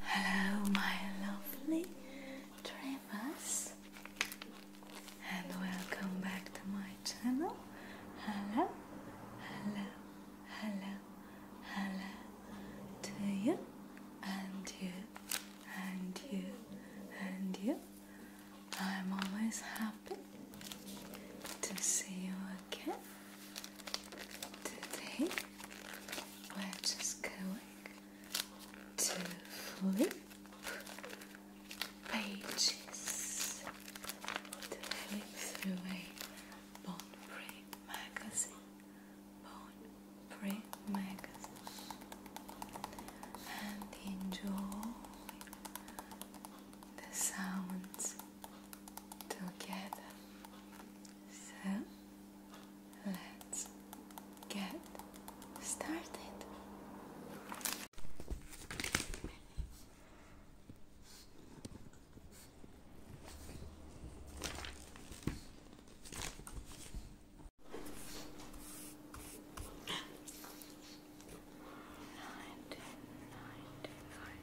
Hello, my lovely dreamers, and welcome back to my channel. Hello, hello, hello, hello to you, and you, and you, and you. I'm always happy to see you again today we're just going to flip pages to flip through a Bond Print magazine. Bond Print magazine. And enjoy the sounds together. So let's get started. Nine, nine, nine.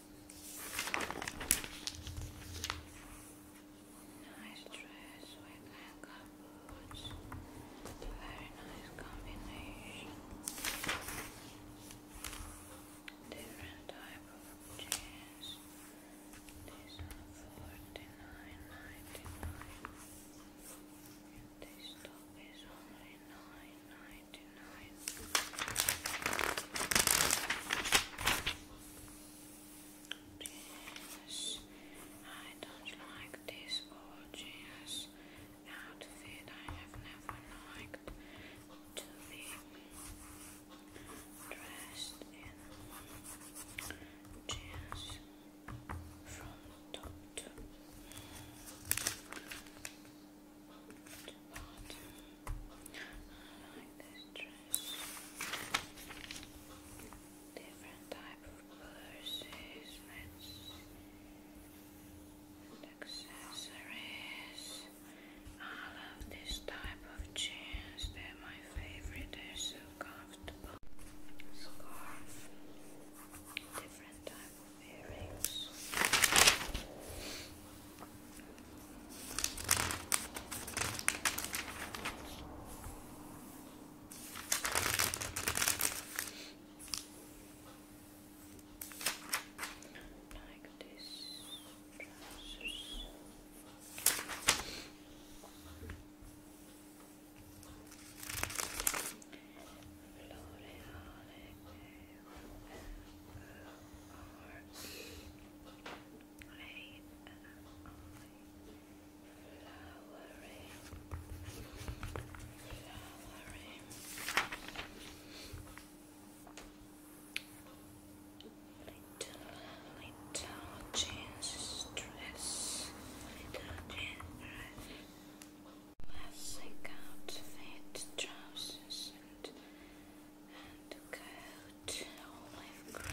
Nice dress with ankle boots. Very nice combination. Different type of jeans. These are forty-nine ninety-nine. This top is only nine ninety-nine. Genius. I don't like this old genius outfit. I have never liked to be dressed in jeans from top to, to do not. I like this dress. Different type of purses with accessories. I love this type of jeans. They're my favorite. They're so comfortable. Scarf. Different type of earrings. Like this trousers. L'Oreal flowering, flowering. Little, little jeans dress, little jeans Classic outfit, trousers and and coat olive green.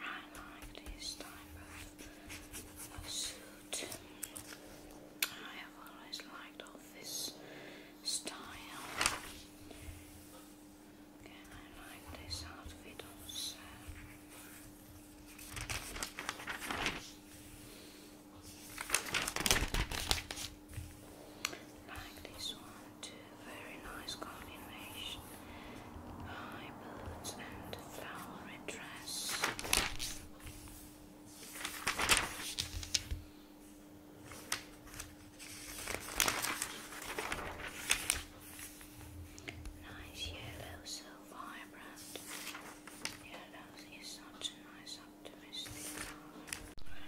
I like this type of, suit. I have always liked office style. I like this outfit also like this one Very nice combination. High boots and flowery dress. Nice yellow, so vibrant. Yellow is such a nice I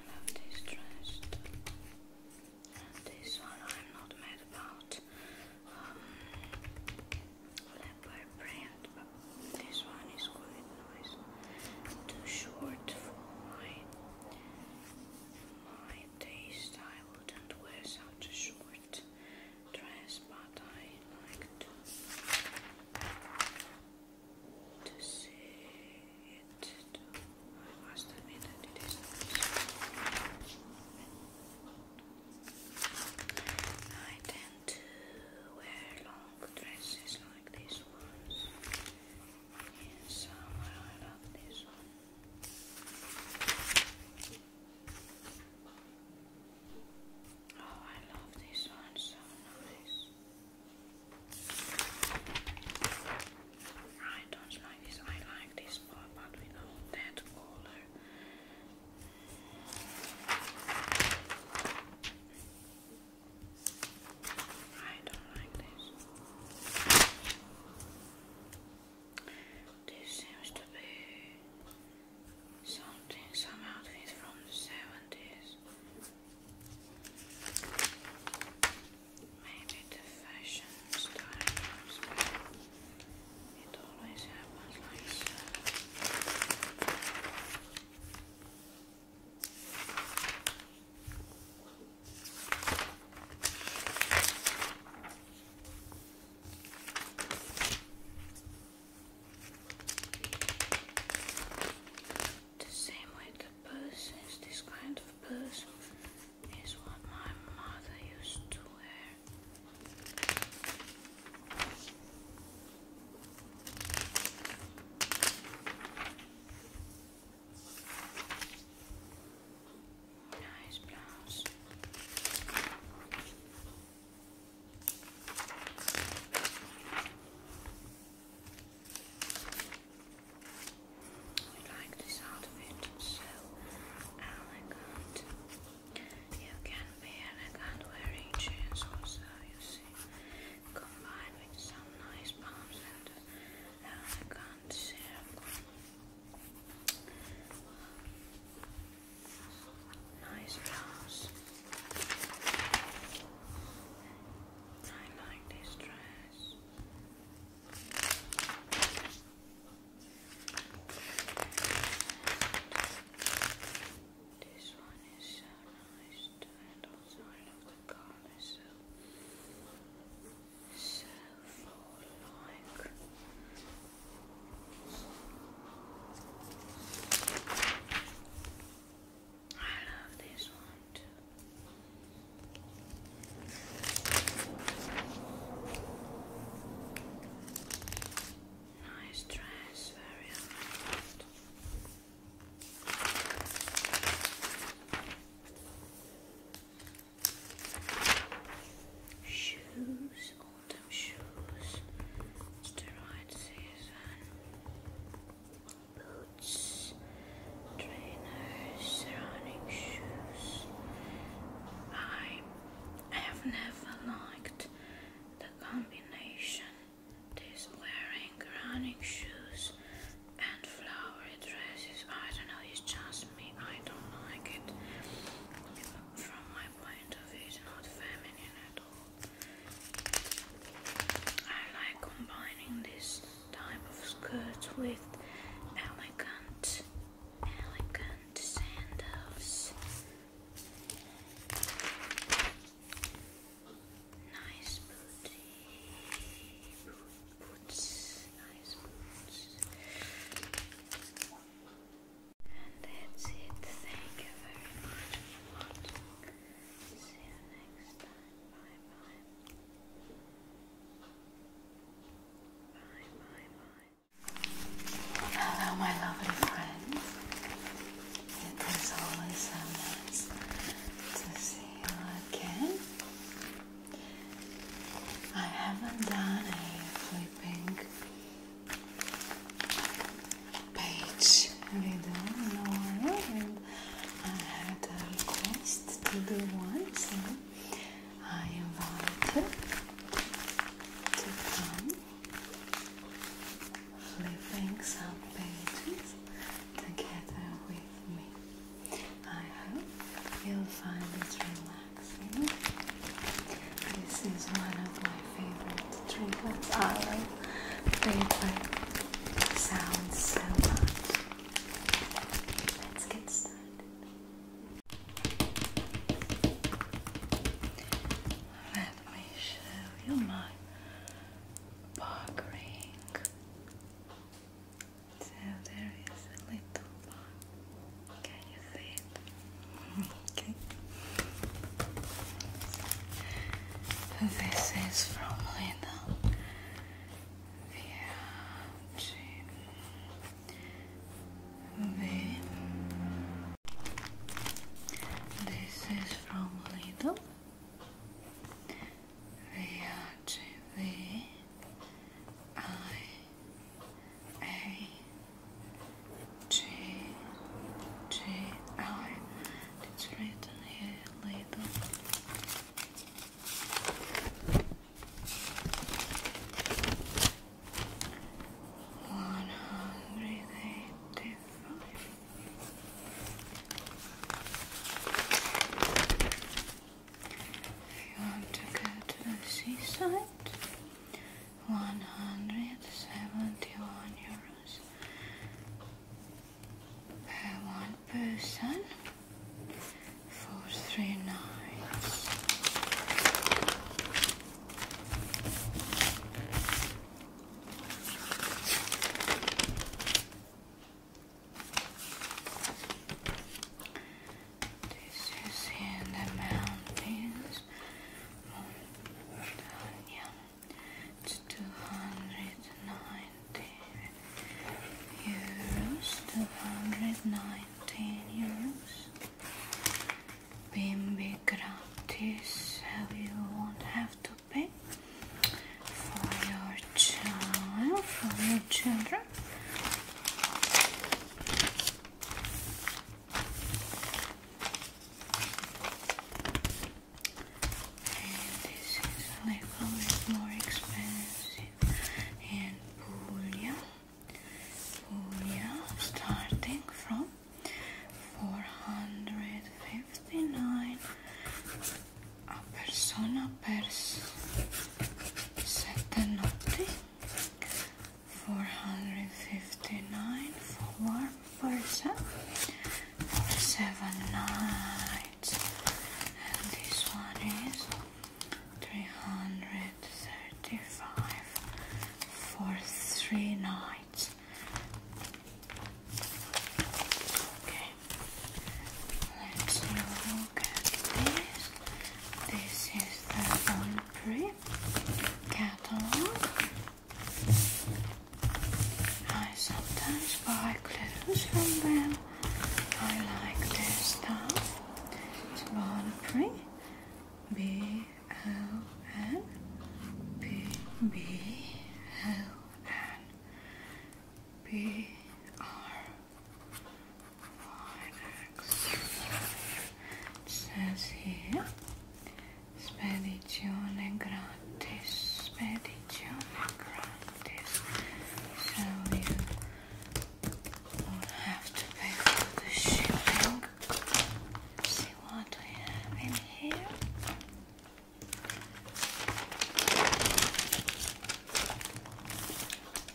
love this dress too. And this one I'm not mad about. Um, leopard but this one is quite nice. Too short for my my taste. I wouldn't wear such a short dress, but I like to to see it I must admit that it is I tend to wear long dresses like these ones in summer I love this one Oh, I love this one, so nice. I don't like this. I like this part, but we know that color. I don't like this. This seems to be something, some outfit from the 70s. Maybe the fashion style It always happens like the same way the person, is this kind of person, is what my mother used to wear. Nice blouse. We like the sound of it, so elegant. You can be elegant wearing jeans also, you see, combined with some nice pumps and elegant circle. Nice blouse. I like this dress. This one is so nice too, and also the color so so full like I I love this one too. Nice dress, very elegant. Shoes, autumn shoes, it's right season boots, trainers, running shoes. I have never liked the combination this wearing running shoes and flowery dresses. I don't know, it's just me, I don't like it. From my point of view, it's not feminine at all. I like combining this type of skirt with elegant, elegant sandals. Nice booty, boots, nice boots. And that's it. Thank you very much for watching. See you next time my, my. My, Hello, my lovely friends. It is always so nice to see you again. I haven't done a flipping page video nor I had a uh, request to do one, so I invited you to come flipping some pages together with me. I hope you'll find it relaxing. This is one of my favorite trinkets. I love favorite sounds so much. Let's get started. Let me show you my bark So there is a little bark. Can you see it? okay. This is from Lena viaggi This is from Lidl. Viaggi it's written here later. One hundred eighty five. If you want to go to the seaside, one hundred seventy one euros one person for three nights. This is in the mountains, it's 219 euros. 219 euros. Bimbi gratis. You won't have to pay for your child, for your children and this is a little bit more expensive and Puglia Puglia starting from 459 persona per setanotti 459 for first seven nights, and this one is three hundred thirty-five for three nights. Okay, let's look at this. This is the Bonprix catalog. I sometimes buy clothes from them. I like their stuff. It's Bonprix. B O N B B O N B R Y X. It says here, spedizione grande. Grantis, Medigione Grantis. So you will have to pay for the shipping. see what we have in here.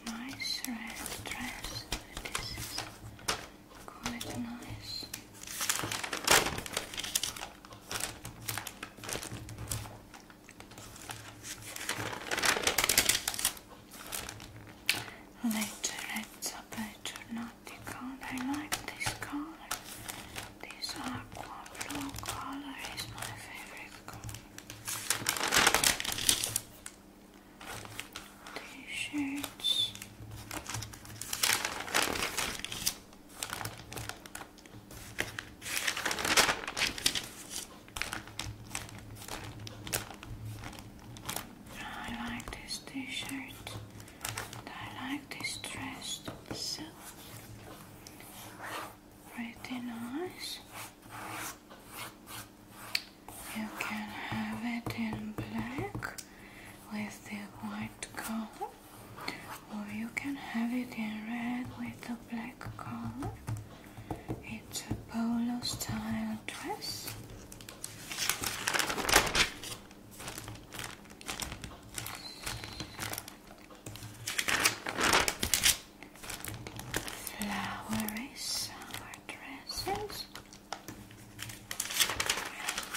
Nice red dress. This is quite nice. Later it's a better I like this color. This aqua blue color is my favorite color. T-shirts. I like this t-shirt. I like this dress. So pretty nice. You can have it in black with the white color or you can have it in red with a black collar. It's a polo style dress. Flowery summer dresses and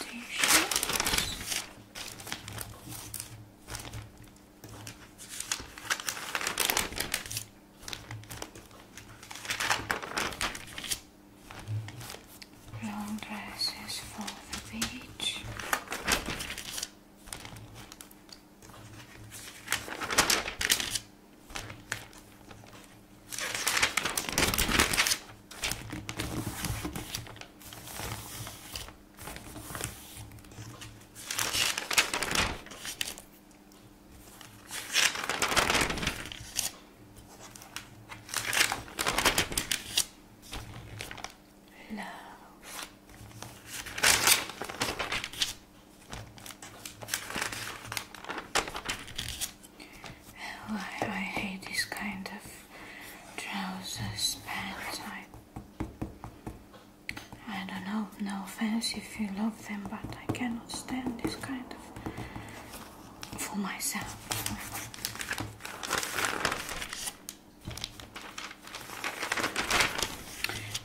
t-shirts. Long dresses for the beach. Love. Oh, I, hate this kind of trousers, pants. I I don't know, no offense if you love them, but I cannot stand this kind of for myself.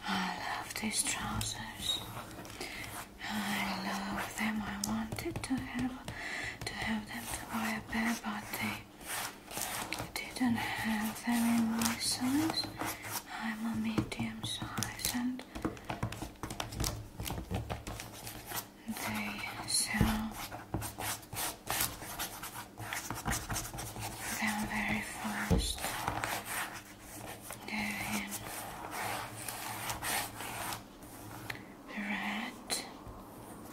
I love these trousers. I love them. I wanted to have to have them to buy a pair, but they didn't have very much size. I'm a medium size and they sell them very fast. They're red,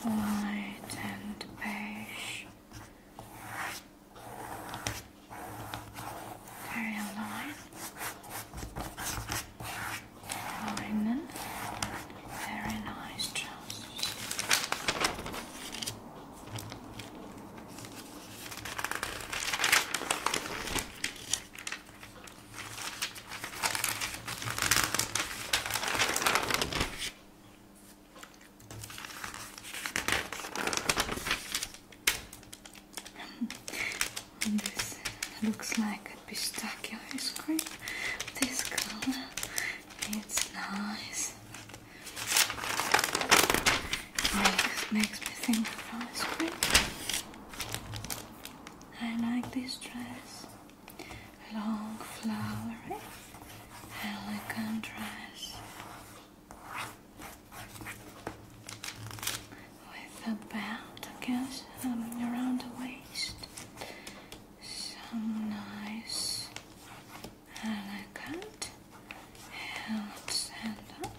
white and beige. Very nice. Linen. Very nice trousers this looks like a pistachio ice cream. This color, it's nice. Makes, makes me think of ice cream. I like this dress long flowery elegant dress with a belt against um, around the waist some nice elegant held sandals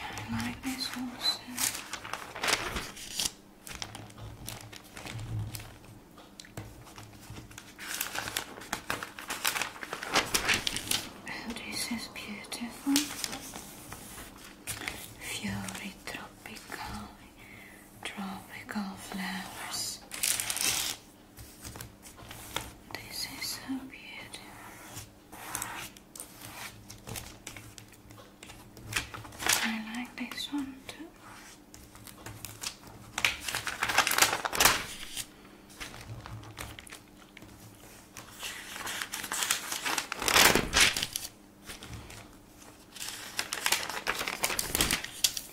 I like this also. this is beautiful. Fury tropical, tropical flowers. This is so beautiful. I like this one too.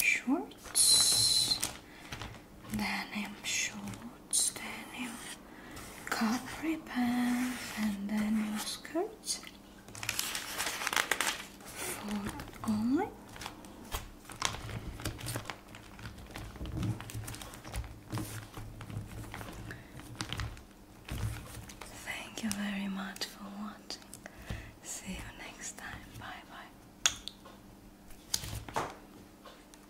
Shorts denim shorts, denim capri pants, and denim skirts for only. Thank you very much for watching. See you next time. Bye bye.